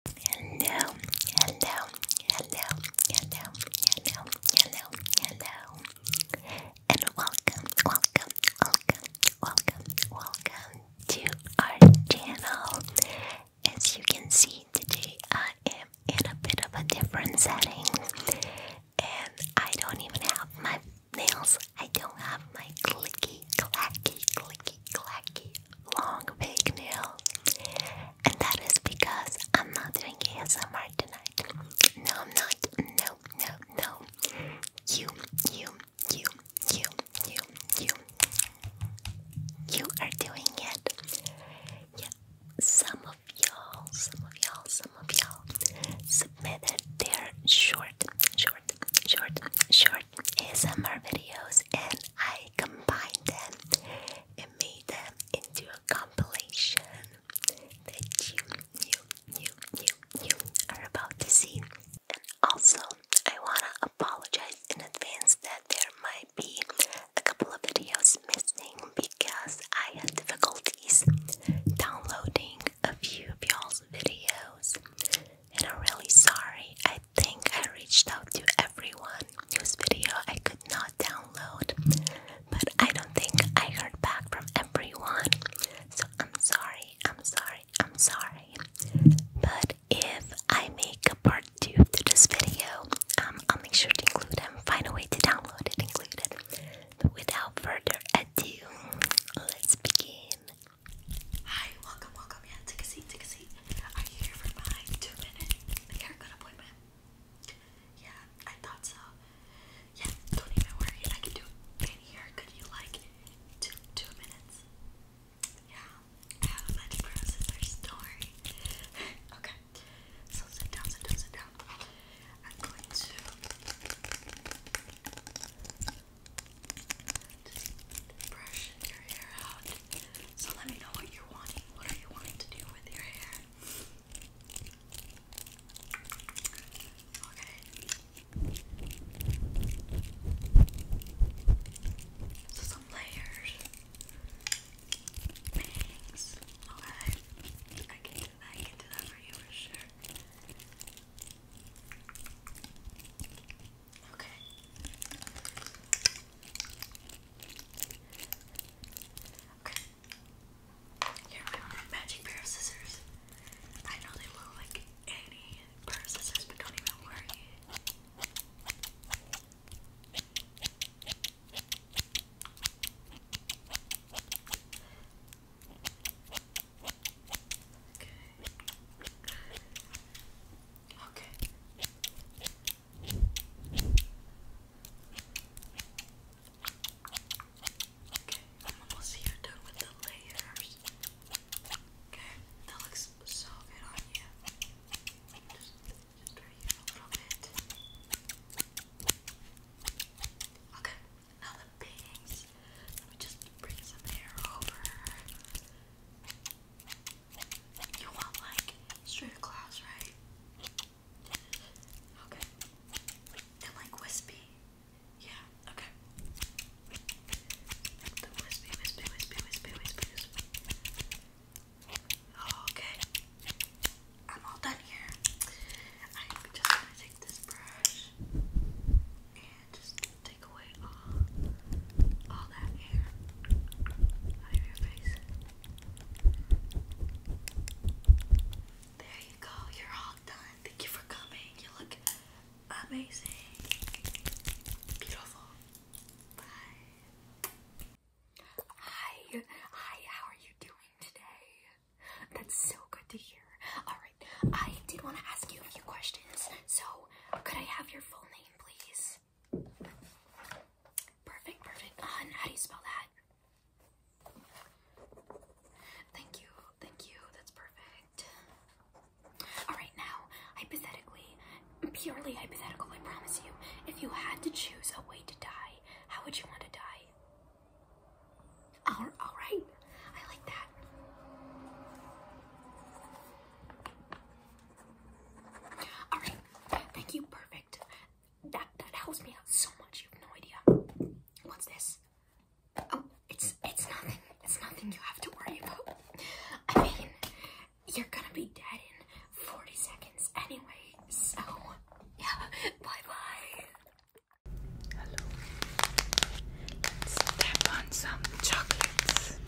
Hello, hello, hello, hello, hello, hello, hello, and welcome, welcome, welcome, welcome, welcome to our channel. As you can see, today I am in a bit of a different setting, and I don't even have my nails. I don't have my clicky, clacky, clicky clacky, long fake nails. And that is because I'm not doing ASMR tonight. No, I'm not. No, no, no. You, you, you, you, you, you. You are doing it. Yeah. Some of y'all, some of y'all, some of y'all submitted their short, short, short, short ASMR videos, and I combined them and made them into a compilation that you, you, you, you, you are about to see. And also, I wanna apologize in advance that there might be a couple of videos missing because I had difficulties downloading a few of y'all's videos. And I'm really sorry think I reached out to everyone This video I could not download, but I don't think I heard back from everyone. So I'm sorry, I'm sorry, I'm sorry. But if I make a part two to this video, um, I'll make sure to include them, find a way to download it, include it. But without further ado, let's begin. Hi, welcome, welcome. Yeah, take a seat, take a seat. Are you here for my two minute haircut appointment? Yeah, I thought so. Yeah, don't even worry. I can do any haircut you like two two minutes. Yeah, I have a much processor story. okay, so sit down, sit down, sit down. I'm going to. So let me know what you're wanting. What are you wanting to do with your hair? Okay. So some layers. Bangs. Okay. I can I can do that for you for sure. Okay. Okay. Here are my magic pair of scissors. I know they look like any pair of scissors, but don't even worry. Okay. Okay. Okay, I'm almost here done with the layers. Okay, that looks so good on you. Just, just right here a little bit. Okay, now the bangs. Let me just bring some hair over. You want like straight across, right? Okay. And like wispy. Yeah, okay. The wispy, wispy, wispy, wispy, wispy, wispy. okay. I'm all done here. I'm just gonna take this brush and just take away all all that hair out of your face. There you go. You're all done. Thank you for coming. You look amazing. Beautiful. Bye. Hi. Hi. How are you doing today? That's so good to hear. All right. I did want to ask you a few questions. So, could I have your full name? please? Perfect, perfect. Ah, how do you spell that? Thank you, thank you. That's perfect. Alright, now, hypothetically, purely hypothetical, I promise you, if you had to choose a way to die, how would you want to die? Alright, I like that. All right, thank you. Perfect. That that helps me out so much. You have no idea. What's this? Oh, it's it's nothing. It's nothing you have to worry about. I mean, you're gonna be dead in 40 seconds anyway. So yeah, bye bye. Hello. let on some chocolates.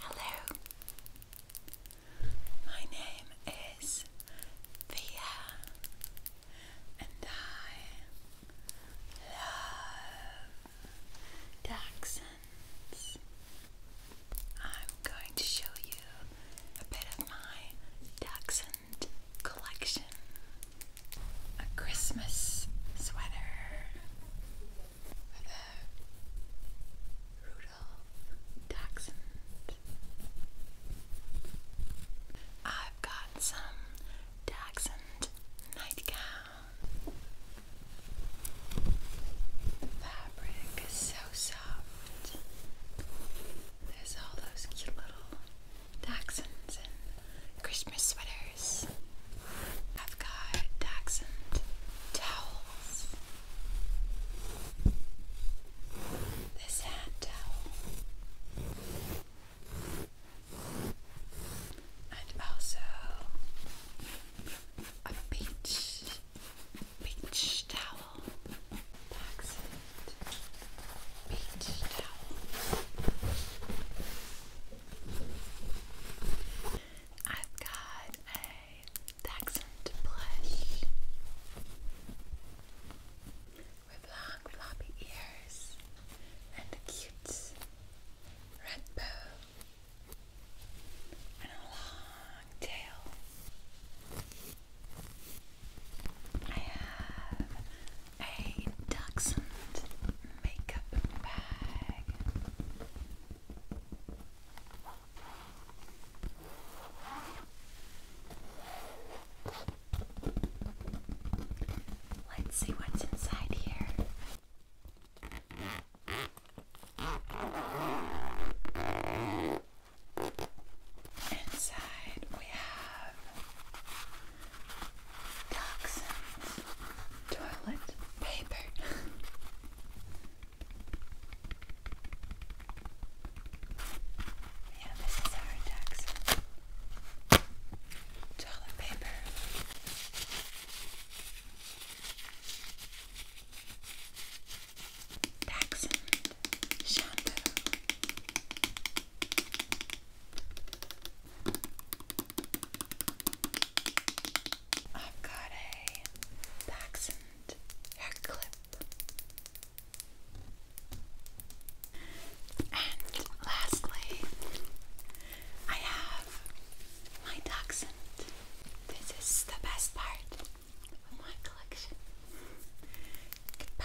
Hello, my name is Thea, and I love dachshunds. I'm going to show you a bit of my dachshund collection. A Christmas sweater with Rudolph dachshund. I've got some dachshund nightgown. The fabric is so soft. There's all those cute little dachshunds and Christmas sweaters. I've got dachshund towels. This hat towel and also a beach beach towel. That's Beach towel. I've got a Dachshund plush with long floppy ears and a cute rainbow, and a long tail. I have a dachshund makeup bag. Let's see what's inside here. Inside we have toxins, toilet paper. yeah, this is our toxin toilet paper. Taxon shampoo. I've got a Taxon hair clip. And lastly, I have my dachshund. This is the best part of my collection. Goodbye.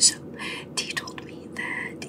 So, he told me that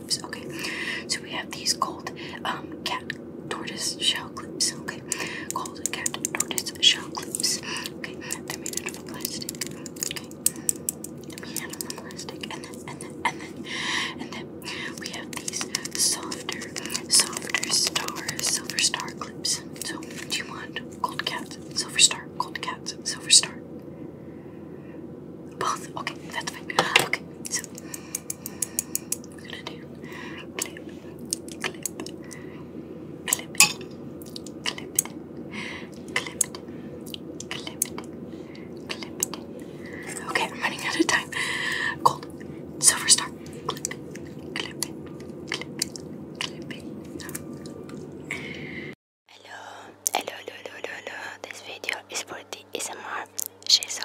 Okay, so we have these gold um, cat tortoise shell clips. Okay, called cat tortoise shell clips. Okay, they're made out of plastic. Okay, they're made out of plastic, and then and then and then and then we have these softer, softer stars, silver star clips. So, do you want gold cat, silver star, gold cat, silver star? Both. Okay, that's fine. Okay, so I'm gonna do clip, clip, clip it, clip it, clip it, clip it, clip it. Okay, I'm running out of time. Gold, silver star, clip it, clip it, clip it, clip it. Hello, hello, hello, hello, hello. This video is for the ASMR. She's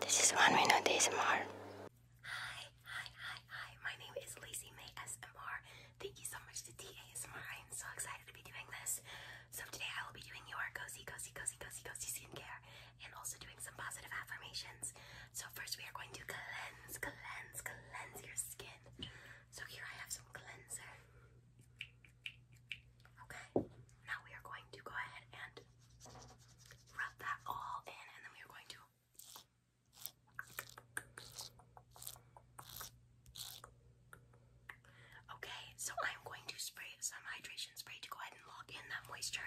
This is one minute ASMR. Hi, hi, hi, hi. My name is Lacey May SMR. Thank you so much to TASMR. I am so excited to be doing this. So today I will be doing your cozy, cozy, cozy, cozy, cozy skincare and also doing some positive affirmations. So first we are going to cleanse, cleanse, cleanse your skin. So here I have some cleanser. Okay, now we are going to go ahead and Rub that all in, and then we are going to Okay, so I'm going to spray some hydration spray to go ahead and lock in that moisture.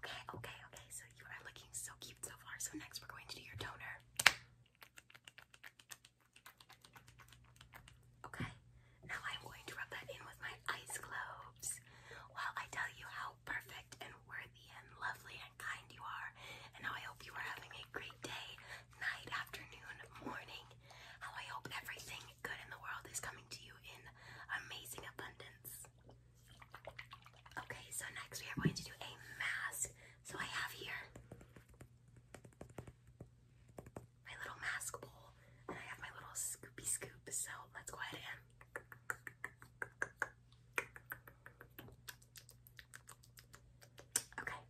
Okay, okay, okay, so you are looking so cute so far. So next we're going to do your toner. Okay, now I'm going to rub that in with my ice globes while I tell you how perfect and worthy and lovely and kind you are, and how I hope you are having a great day, night, afternoon, morning, how I hope everything good in the world is coming to you in amazing abundance. Okay, so next we are going to do a mask. So I have here my little mask bowl and I have my little scoopy scoop. So let's go ahead and Okay.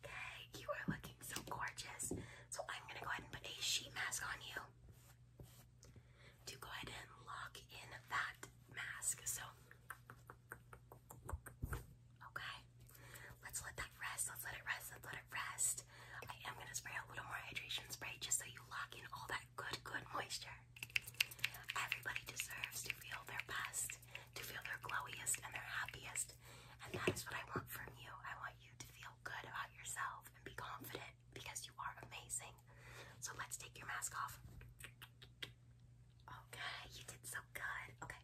Okay, you are looking so gorgeous. So I'm gonna go ahead and put a sheet mask on you to go ahead and lock in that mask. So Okay. Let's let that rest. Let's let it rest. Let's let it rest. I am gonna spray a little more hydration spray just so you lock in all that good, good moisture. Everybody deserves to feel their best, to feel their glowiest and their happiest. And that is what I want from you. I want you to feel good about yourself and be confident because you are amazing. So let's take your mask off. Okay, oh, you did so good. Okay,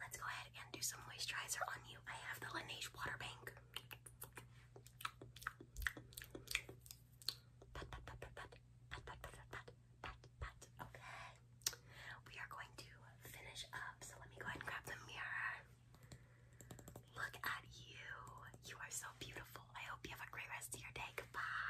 let's go ahead and do some moisturizer on you. I have the Laneige Water Bank. Okay, we are going to finish up. So let me go ahead and grab the mirror. Look at you. You are so beautiful. I hope you have a great rest of your day. Goodbye.